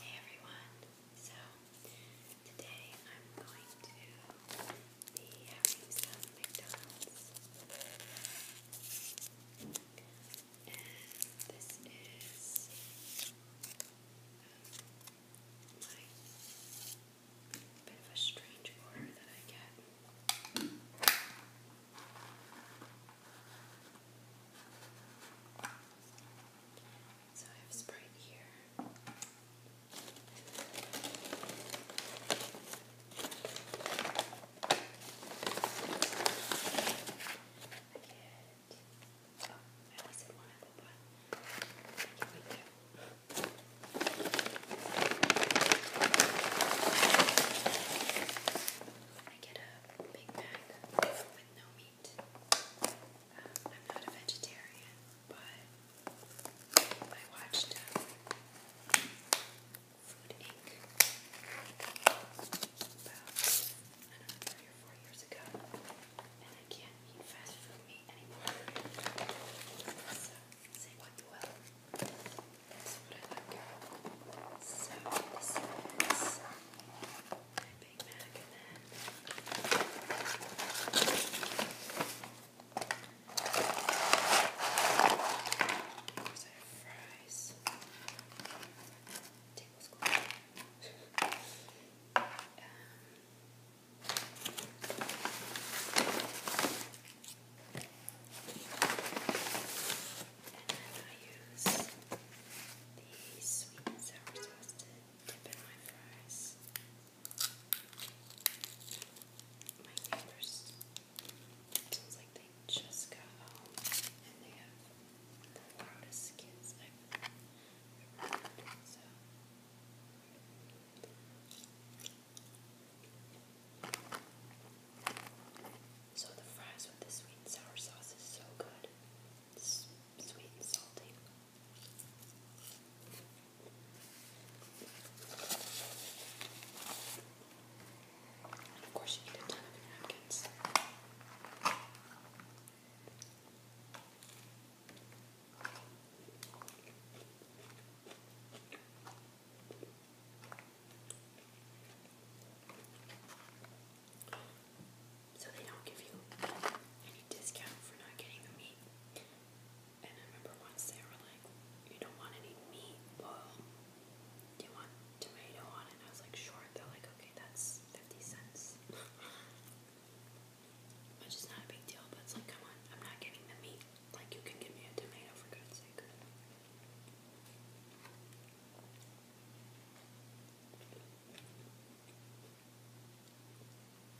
Hey everyone, so today I'm going to be having some McDonald's and this is um, bit of a strange order that I get. So I have Sprite here. I get. Oh, I only said one apple pie. I can wait two. I get a Big Mac with i no meat. Um, I'm not a vegetarian, but I watched um, Food Inc. about, I do four years ago, and I can't eat fast food meat anymore. So, say what you will. That's what I like my Big Mac and then here's our fries. Table's cool. um, and then I use the sweet and sour sauce to dip in my fries. My neighbors, sounds like they just got home and they have the loudest kids ever So the fries with the sweet and sour sauce is so good sweet and salty. of course, you need a ton of napkins. So they don't give you any discount for not getting the meat. And I remember once they like, you don't want any meat, do you want tomato on it? And I was like, sure. They're like, okay, that's 50 cents. Which is not a big deal, but it's like, come on, I'm not getting the meat. Like, you can give me a tomato for God's sake.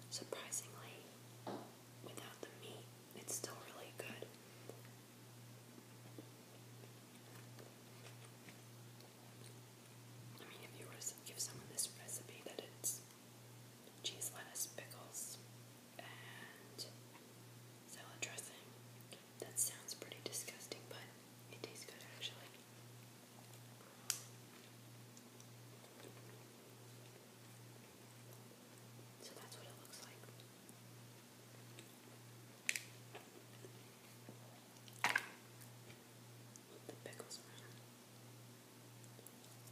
Surprisingly, without the meat, it's still really good. I mean, if you were to give someone this recipe that it's cheese, lettuce, pickles, and salad dressing, that sounds pretty disgusting, but it tastes good actually. So that's what it looks like. the pickles around.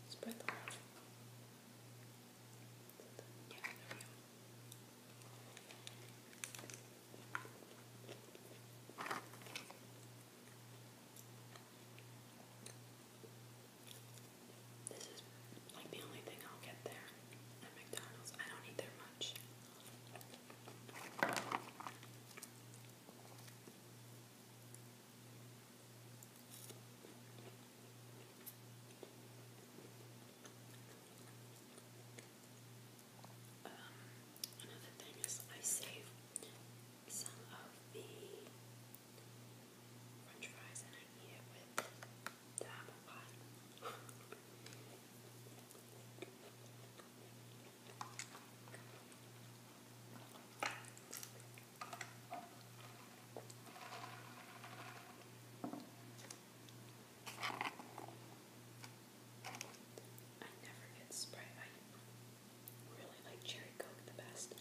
Spread them out. This is like the only thing I'll get there at McDonald's. I don't eat there much. Um, another thing is I save some of the french fries and I eat it with the apple I never get Sprite. I really like Cherry Coke the best.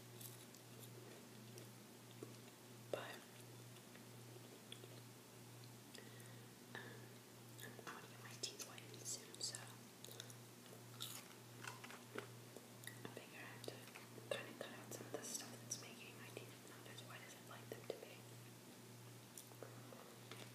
But um, I'm to get my teeth whitened soon, so I figure I have to kind of cut out some of the stuff that's making my teeth not as white as I'd like them to be.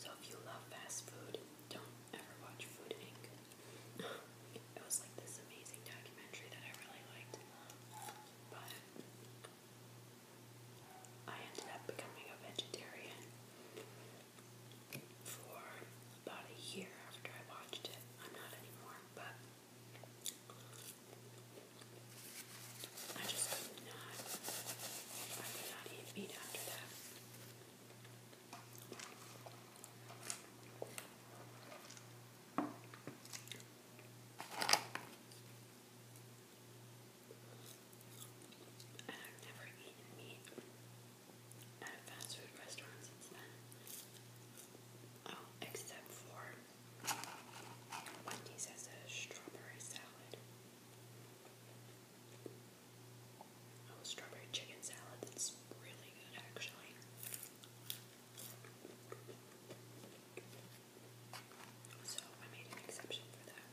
So if you love fast food, don't ever watch Food Inc it was like this amazing documentary that I really liked, but I ended up becoming a vegetarian for about a year after I watched it. I'm not anymore, but I just could not. I could not eat meat after that. And I've never eaten meat at a fast food restaurant since then. Oh, except for Wendy's has a strawberry salad. Oh, strawberry chicken salad. That's really good, actually. So I made an exception for that.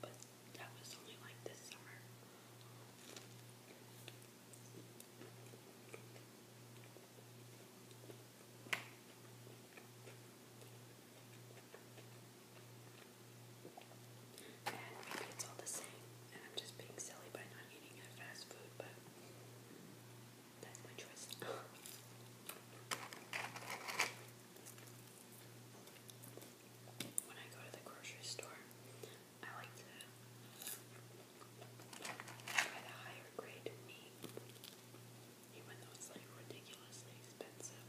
But that was only like this summer and maybe it's all the same, and I'm just being silly by not eating fast food, but that's my choice. when I go to the grocery store, I like to buy the higher grade meat, even though it's like ridiculously expensive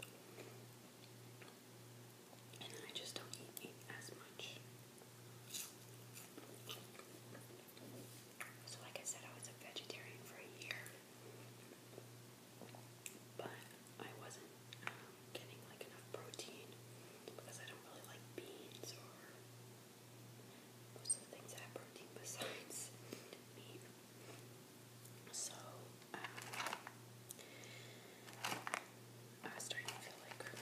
and I just don't eat as much. So, like I said, I was a vegetarian for a year, but I wasn't um, getting like enough protein because I don't really like beans or most of the things that have protein besides meat. So, um, I was starting to feel like, like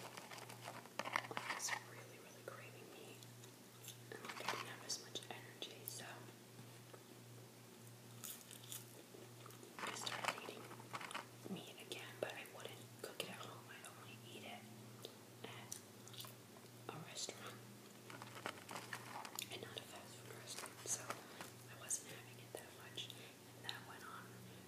I was really, really craving meat, and like I didn't have as much energy, so I started eating meat again, but I wouldn't cook it at home. i only eat it at a restaurant, and not a fast food restaurant, so I wasn't having it that much, and that went on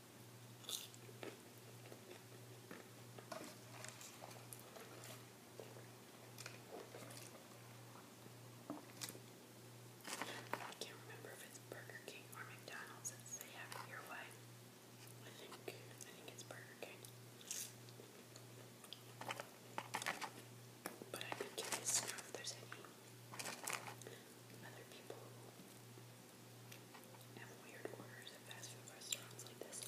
I can't remember if it's Burger King or McDonald's they have your way. I think I think it's Burger King. But I'd be curious to other people and weird orders at fast food restaurants like this.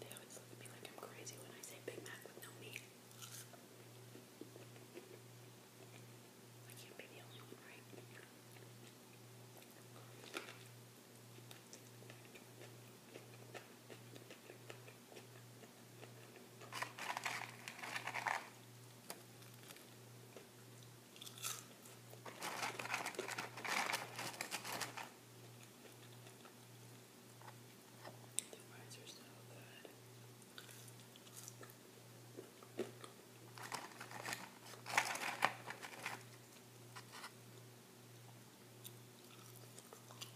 they always look at me like I'm crazy when I say Big Mac with no meat. I can't be the only one, right? The fries are so good.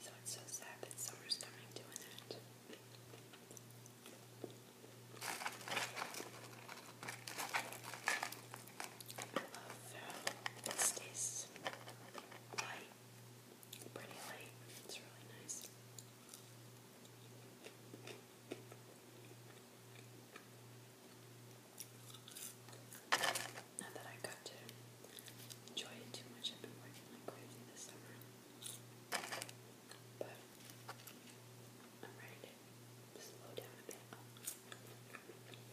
So it's so sad that summer's coming to an I love how it stays light, pretty light. It's really nice. Not that I got to enjoy it too much. I've been working like crazy this summer. But I'm ready to slow down a bit.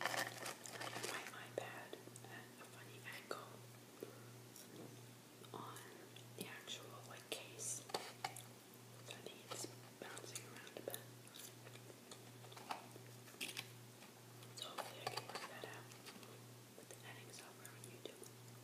I have my iPad at a funny angle on the actual like case. So I it's bouncing around a bit. hopefully I can work that out with the editing software on YouTube.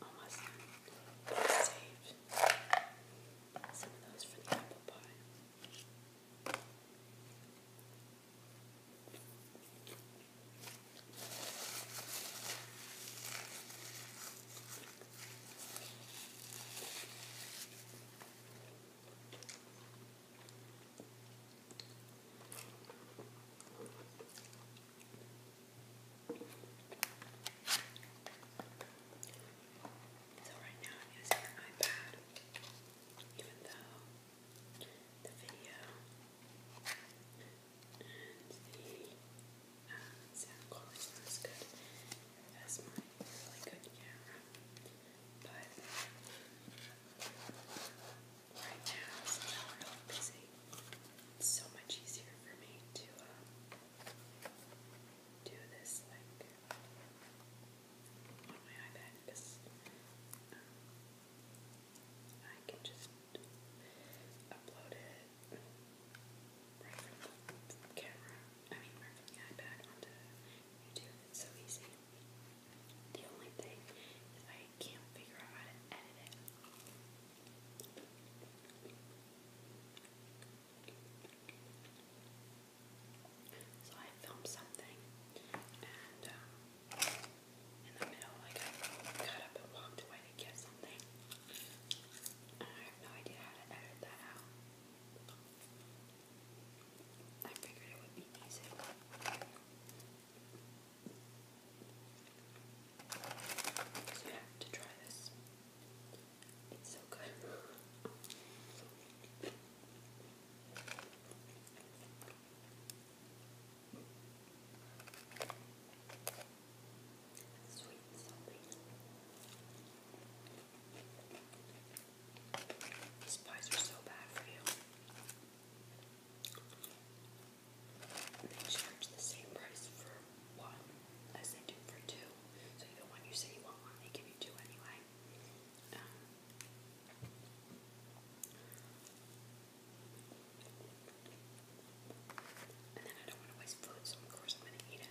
Almost done. Save some of those for the apple pie. So right now I'm using an iPad, even though the video and the uh, sound quality is good as my really good camera. But right now, I'm really busy, it's so much easier for me to uh, do this like on my iPad I can just upload it right from the camera. I mean, right from the iPad onto YouTube. It's so easy. The only thing is I can't figure out how to edit it. So I filmed something, and um, in the middle, I got up and walked away to get something. I have no idea how to edit that out. I figured it would be easy. So you have to try this. It's so good. Sweet and salty. These pies are so bad for you. They charge the same price for one as they do for two. So even when you say you want one, they give you two anyway. and then I don't want to waste food, so of course I'm going to eat it.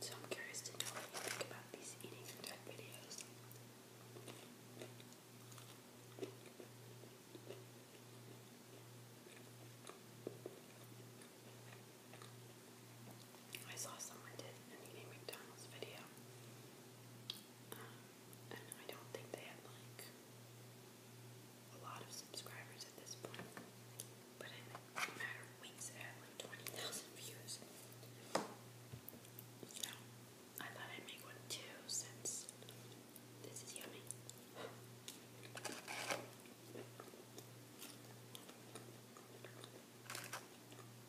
So I'm curious to know what you think about these eating type videos. I saw someone did an eating McDonald's video. Um, and I don't think they had like a lot of subscribers at this point. But in a matter of weeks, it had like twenty thousand views. So I thought I'd make one too, since this is yummy.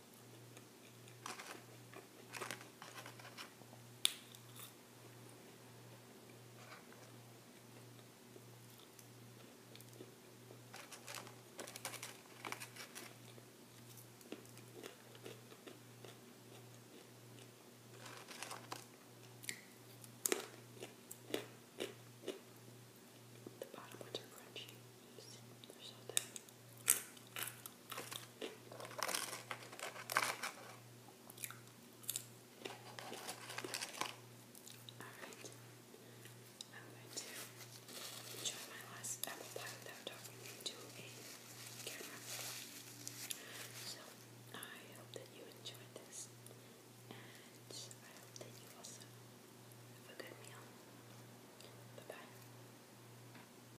The bottom ones are crunchy. They're so thin. Alright. I'm going to enjoy my last apple pie without talking into a camera. So I hope that you enjoyed this. And I hope that you also have a good meal. Bye bye.